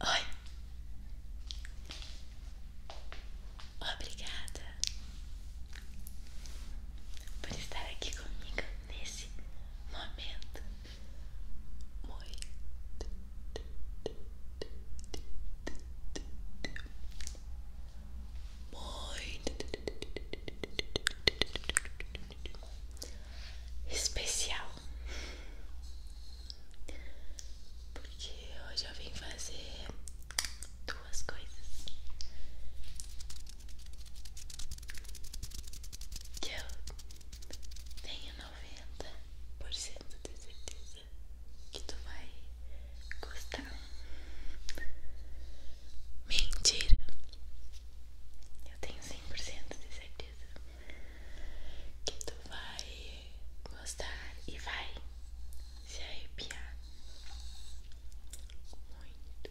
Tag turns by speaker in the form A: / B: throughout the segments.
A: Oi. Obrigada por estar aqui comigo nesse momento muito muito especial. Porque hoje eu vim fazer duas coisas que eu tenho noventa por cento de certeza que tu vai gostar. Mentira, eu tenho cem por cento de certeza que tu vai gostar e vai se arrepiar muito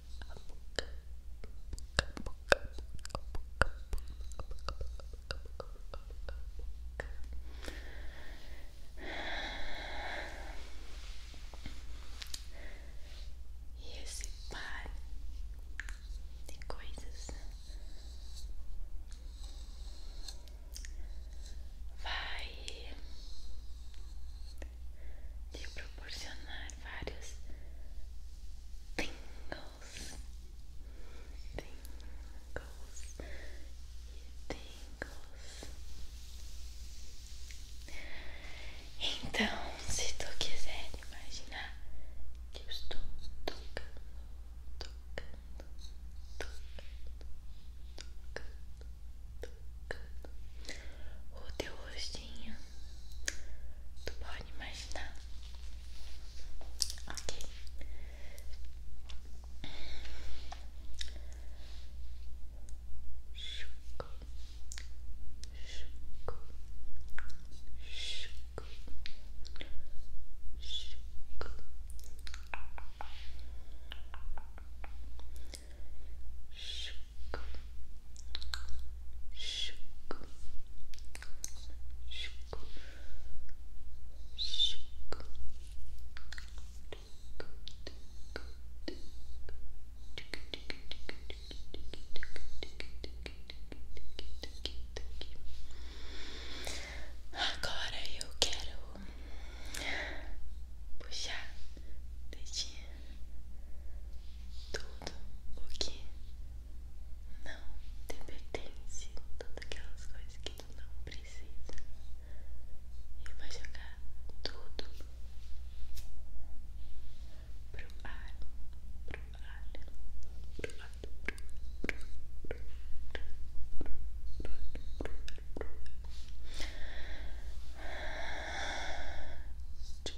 A: E esse par de coisas vai te proporcionar vários tingles, tingles e tingles. Então, se tu quiser imaginar que eu estou tocando, tocando, tocando, tocando, tocando, o teu rostinho. Tu pode imaginar, ok? Chuco, chuco, chuco, chuco. Chuco, Agora eu quero puxar dedinho tudo o que não te pertence, todas aquelas coisas que tu não precisa, e vai jogar tudo pro ar, pro ar, pro ar, pro ar, pro ar, pro ar, pro ar.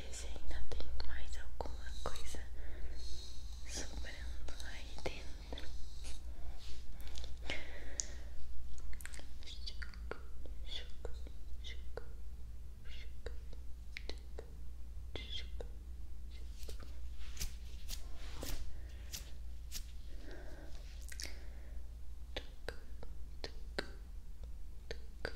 A: ver se ainda tem mais alguma coisa sobrando aí dentro. Chucu, chucu, chucu, chucu, chucu, chucu, chucu. Tuc, tuc, tuc,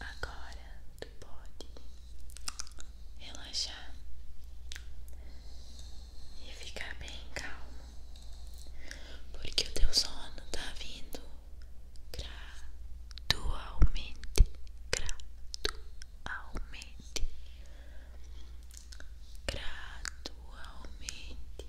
A: Agora tu pode relaxar e ficar bem calmo, porque o teu sono tá vindo gradualmente, gradualmente, gradualmente, gradualmente.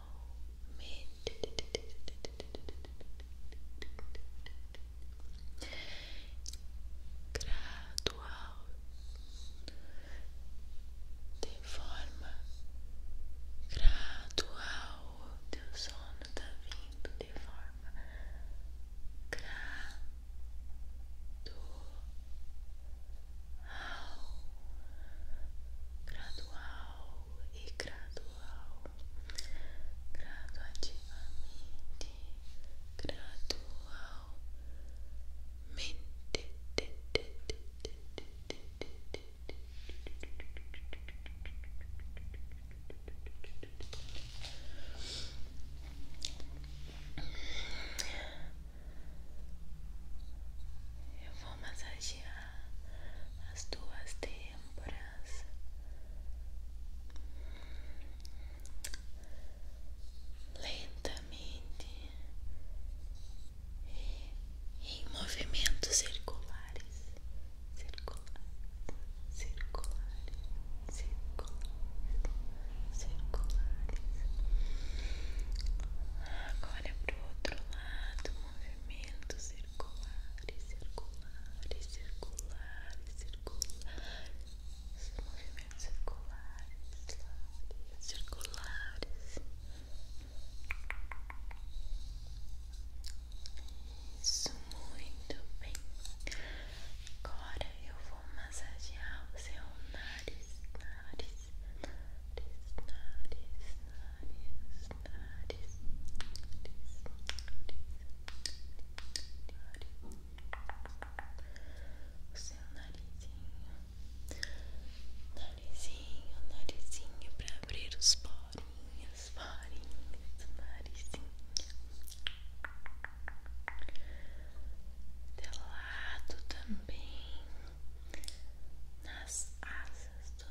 A: Calme. Gradual. De forma gradual. Teu sono tá vindo de forma gradual. Gradual e gradual, graduativamente, gradualmente. Eu vou massagear as tuas têmporas. Lentamente e em movimentos circulares, circulares, circulares, circulares, circulares. Agora é para o outro lado, movimentos circular circulares circulares circulares movimentos circulares circulares isso, muito bem agora eu vou massagear o seu nariz nariz nariz, nariz, nariz nariz, nariz, nariz, o seu narizinho, narizinho, narizinho para abrir os porinhos, porinhos do narizinho, do lado também nas asas do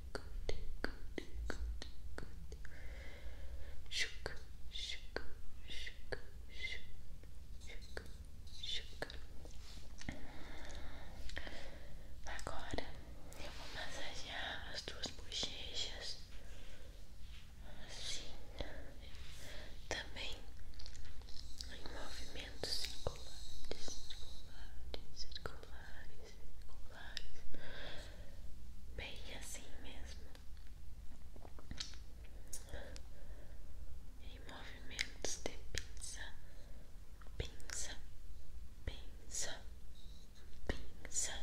A: good, good, good, good. Chuca, chuca, chuca, chuca, chuca, Agora eu vou massagear as tuas bochechas assim, também em movimentos circulares, circulares, circulares circulares, bem assim mesmo, em movimentos de pinça, pinça, pinça, pinça,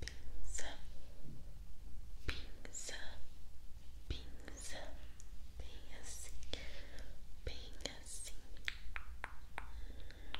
A: pinça, pinça, pinça, bem assim, bem assim.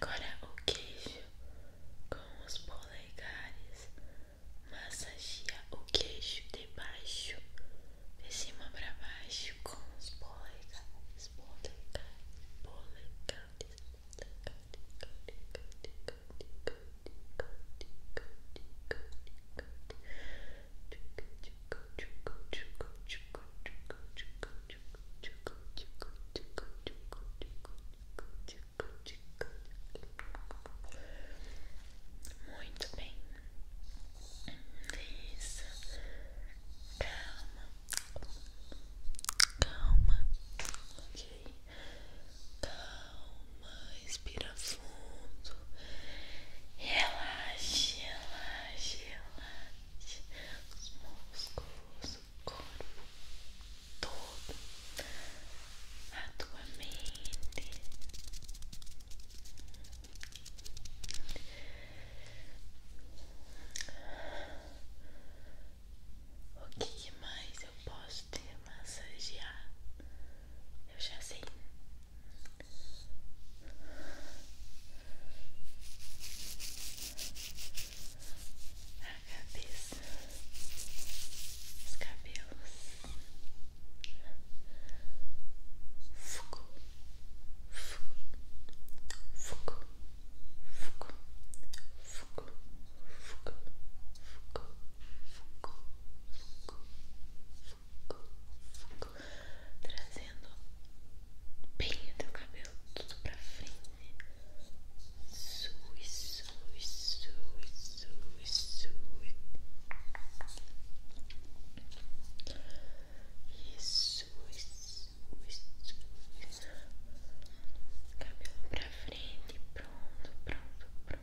A: Agora o queijo com os polegares. Massageia o queijo de baixo, de cima para baixo com os Polegares, polegares, polegares. Muito bem. Isso. Calma. Calma. Ok. Calma. Respira fundo isso. Relaxe, relaxe, relaxe os músculos, o corpo todo, a tua mente. O que mais eu posso te massagear? Eu já sei a cabeça, os cabelos, fuco, fuco, fuco, fuco, fuco, fuco, fuco, fuco, foco, foco, trazendo bem o teu cabelo tudo pra frente. isso isso isso sui, Isso, isso, isso, isso. Cabelo pra frente, pronto, pronto, pronto.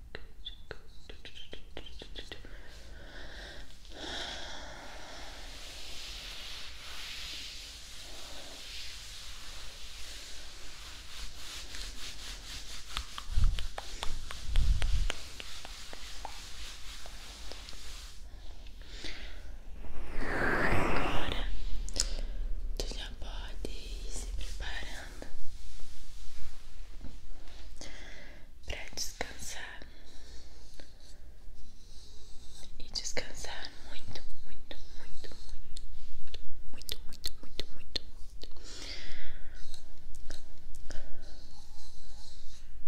A: Agora tu já pode se preparando para descansar e descansar muito, muito, muito, muito, muito, muito, muito, muito, muito.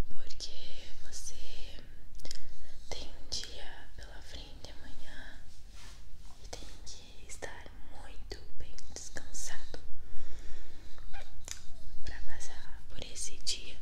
A: porque você tem um dia pela frente amanhã e tem que estar muito bem descansado para passar por esse dia.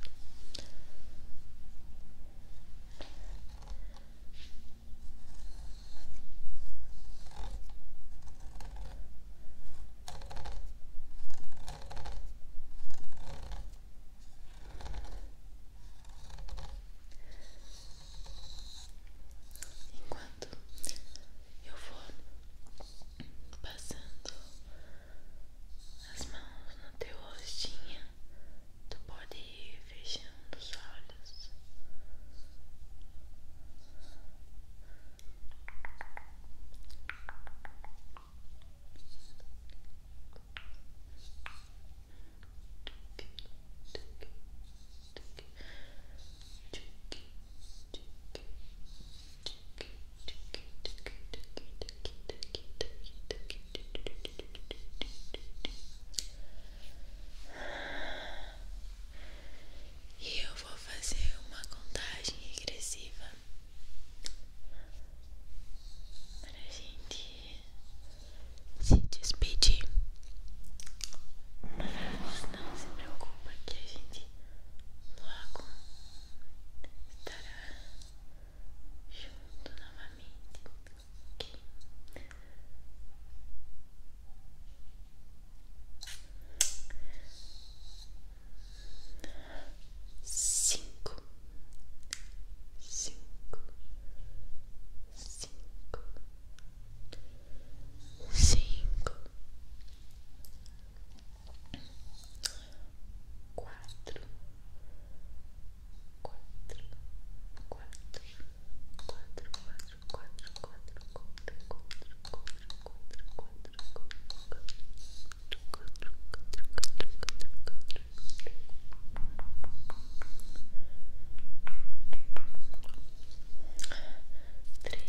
A: Enquanto eu vou passando as mãos no teu rostinho, tu pode ir fechando os olhos. E eu vou fazer uma contagem regressiva para a gente se despedir. Mas não se preocupa que a gente logo estará junto novamente, ok? Cinco, cinco, cinco, cinco, quatro, quatro, quatro, quatro, quatro, quatro, quatro, quatro, quatro, quatro, quatro, quatro, quatro, quatro,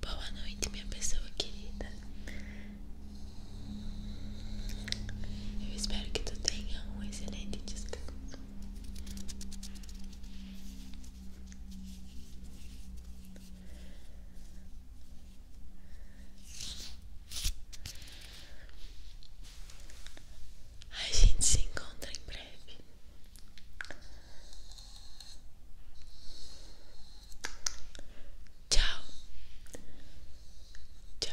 A: Boa noite, minha pessoa querida. Eu espero que tu tenha um excelente descanso. A gente se encontra em breve. Tchau, tchau.